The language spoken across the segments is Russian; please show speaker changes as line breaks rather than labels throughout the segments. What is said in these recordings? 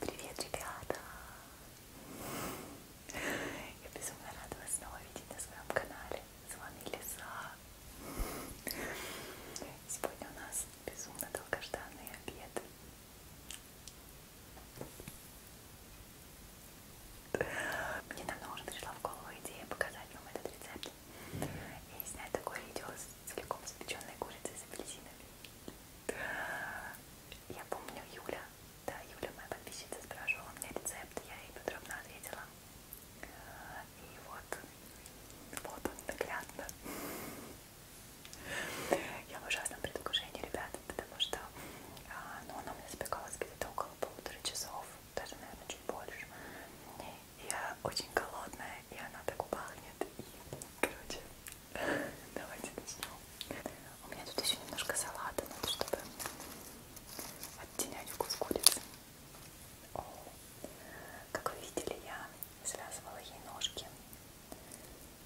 Привет, ребята! Я безумно рада вас снова видеть на своем канале. С вами Лиса. Сегодня у нас безумно долгожданный обед. Недавно уже пришла в голову идея показать вам этот рецепт и снять такое видео с целиком испеченной курицей с апельсинами. Я помню Юля, да, Юля моя подписчица спрашивала у меня рецепт, я ей подробно ответила. И вот, вот он наглядно. Я в ужасном предвкушении, ребята, потому что а, ну, она у меня запекалась где-то около полутора часов даже, наверное, чуть больше. Я очень голодная, и она так пахнет. И, короче, давайте начнем. У меня тут еще немножко салата, надо, чтобы оттенять вкус курицы. О, как вы видели, я связывала ей ножки.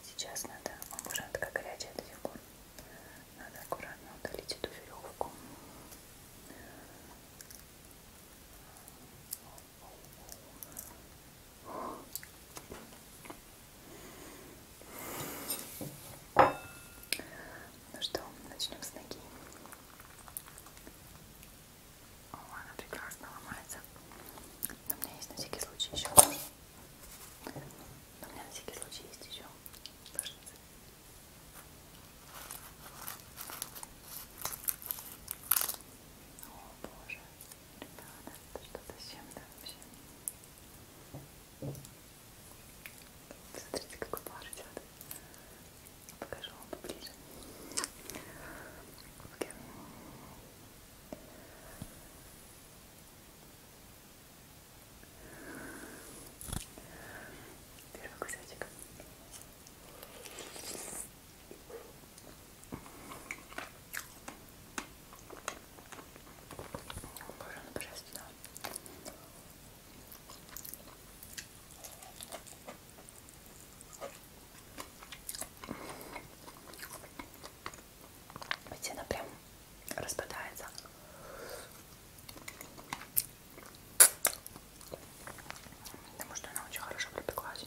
Сейчас надо, он уже такая горячая эта фигура. Надо аккуратно удалить эту веревку. Ну что, начнем с ноги. О, она прекрасно ломается. Но у меня есть на всякий случай еще. Но у меня на всякий случай есть еще ножницы. О боже, ребята, это что-то с чем-то вообще. Смотрите, какой пар идет. Покажу вам поближе. Okay. Первый кусочек. Боже, ну божественно. Ведь она прям распадается. Потому что она очень хорошо пропеклась.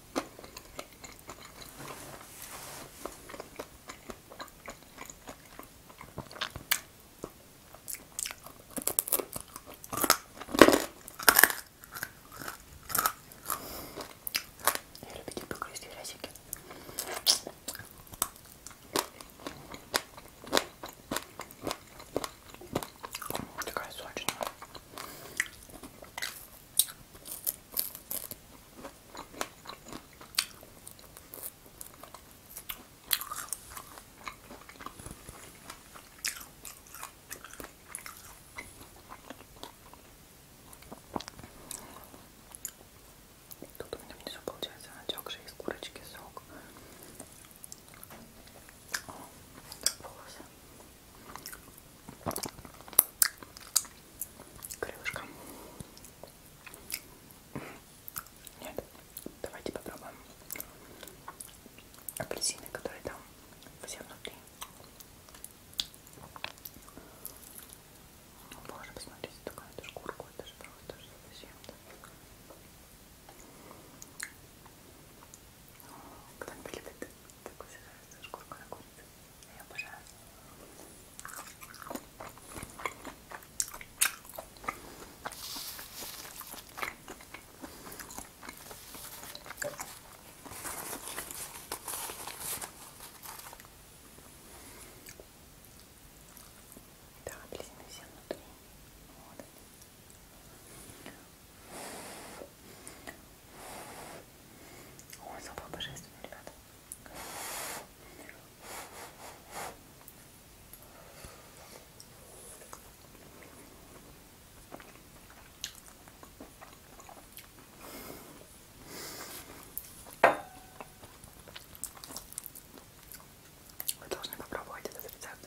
Я любитель погрызть грязики. Такая сочная. Тут у меня внизу получается натекший из курочки сок. О, волосы. Крылышко. Нет, давайте попробуем апельсины, которые там все внутри. Боже, ну, посмотрите, такая эту шкурку, это же просто совсем. Кто-нибудь любит такую шкурку на курице? Я обожаю. Да, апельсины все внутри. Вот. Ой, запах божественный, ребята. Вы должны попробовать этот рецепт.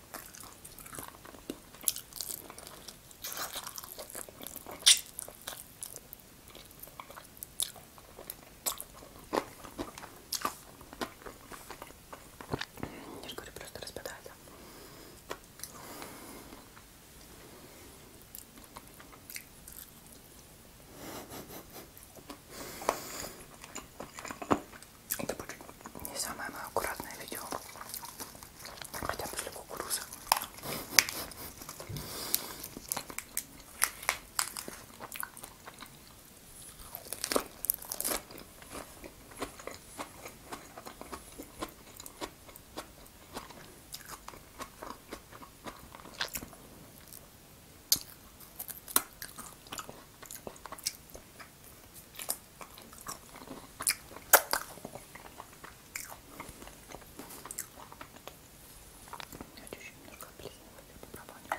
Я же говорю, просто распадается. Это будет не самое мое аккуратное видео. Хотя после кукурузы. Давайте еще немножко облизывать эту пропаду.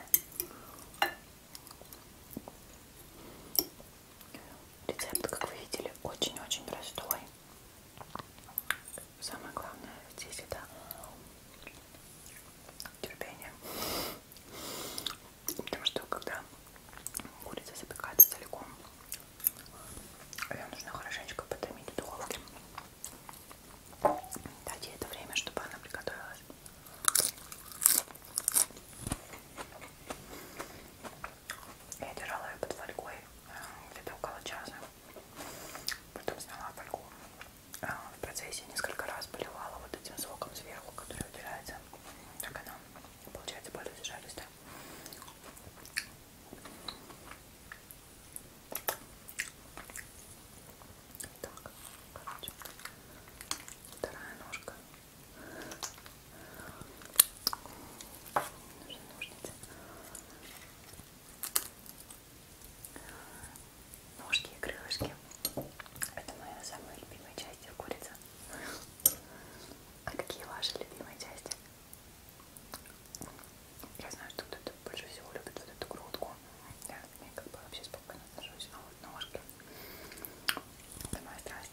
Рецепт, как вы видели, очень-очень простой. Самое главное здесь это терпение. Потому что когда курица запекается целиком, ее нужно хорошенечко потомить в духовке. Дать ей это время, чтобы она приготовилась. Я держала ее под фольгой э, где-то около часа. Потом сняла фольгу. А, в процессе несколько раз поливала вот этим соком сверху, который удирается. Так она, получается, более зажаристая. Так, короче, вторая ножка. Нужны ножницы ножки и крылышки. Это моя самая любимая часть курица. А какие ваши любимые части? Я знаю, что кто-то больше всего любит вот эту грудку. Я к ней как бы вообще спокойно отношусь, но а вот ножки. Это моя страсть.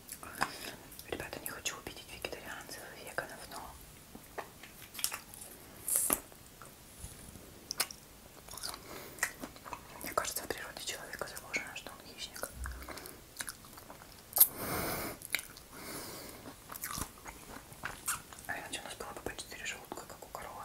Ребята, не хочу убедить вегетарианцев и веганов, но мне кажется, в природе человека заложено, что он хищник. А иначе у нас было бы по 4 желудка, как у коровы.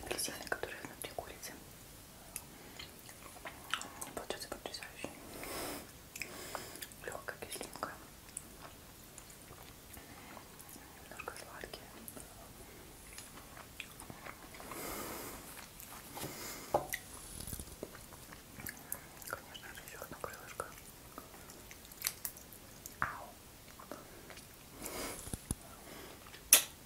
Две апельсины, которые внутри курицы. Получается потрясающе. Легкая кислинка. Немножко сладкие. Конечно же, еще одно крылышко. Ау.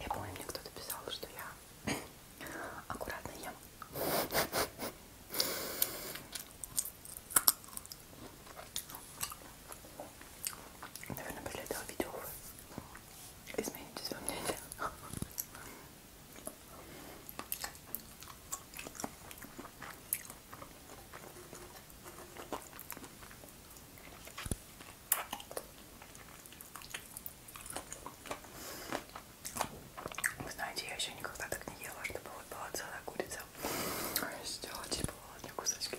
Я помню, мне кто-то писал, что я аккуратно ем. Наверное, после этого видео вы изменитесь во мнении. Вы знаете, я еще никогда так не ела, чтобы вот была целая курица. Я сделала типа одни кусочки.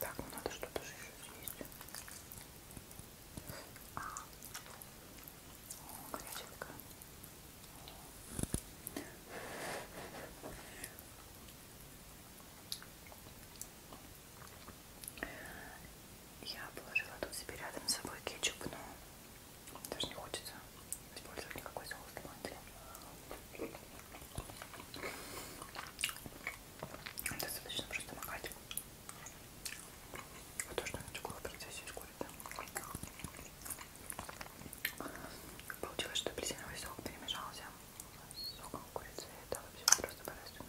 Так, ну надо что-то же еще съесть. А. О, горяченько. Я положила тут себе рядом с собой кетчуп, но даже не хочется использовать никакой соус томатный. Достаточно просто макать. А то, что я начала в процессе из курицы. Получилось, что апельсиновый сок перемешался с соком курицы. Это вообще просто божественно.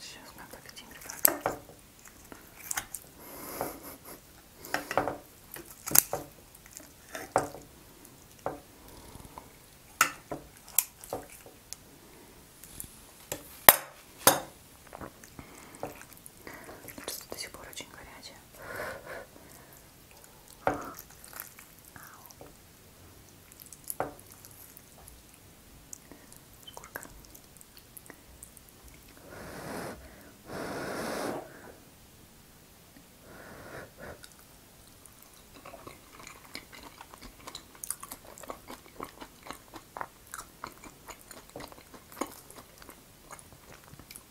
Сейчас мы подадим, ребята. Просто до сих пор очень горячая. Ау. Шкурка.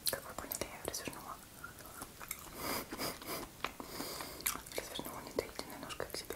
Как вы поняли, я развернула. Развернула недоеденной ножкой к себе.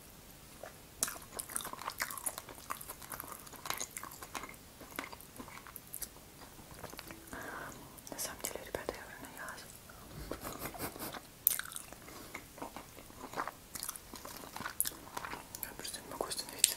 На самом деле, ребята, я уже наелась. Я просто не могу остановиться.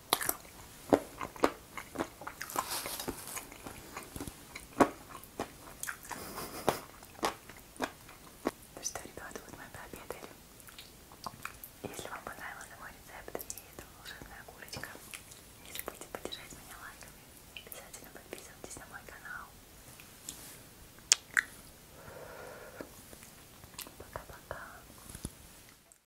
Ну что, ребята, вот мы пообедали. Если вам понравился мой рецепт и эта волшебная курочка, не забудьте поддержать меня лайками. Обязательно подписывайтесь на мой канал. Пока-пока.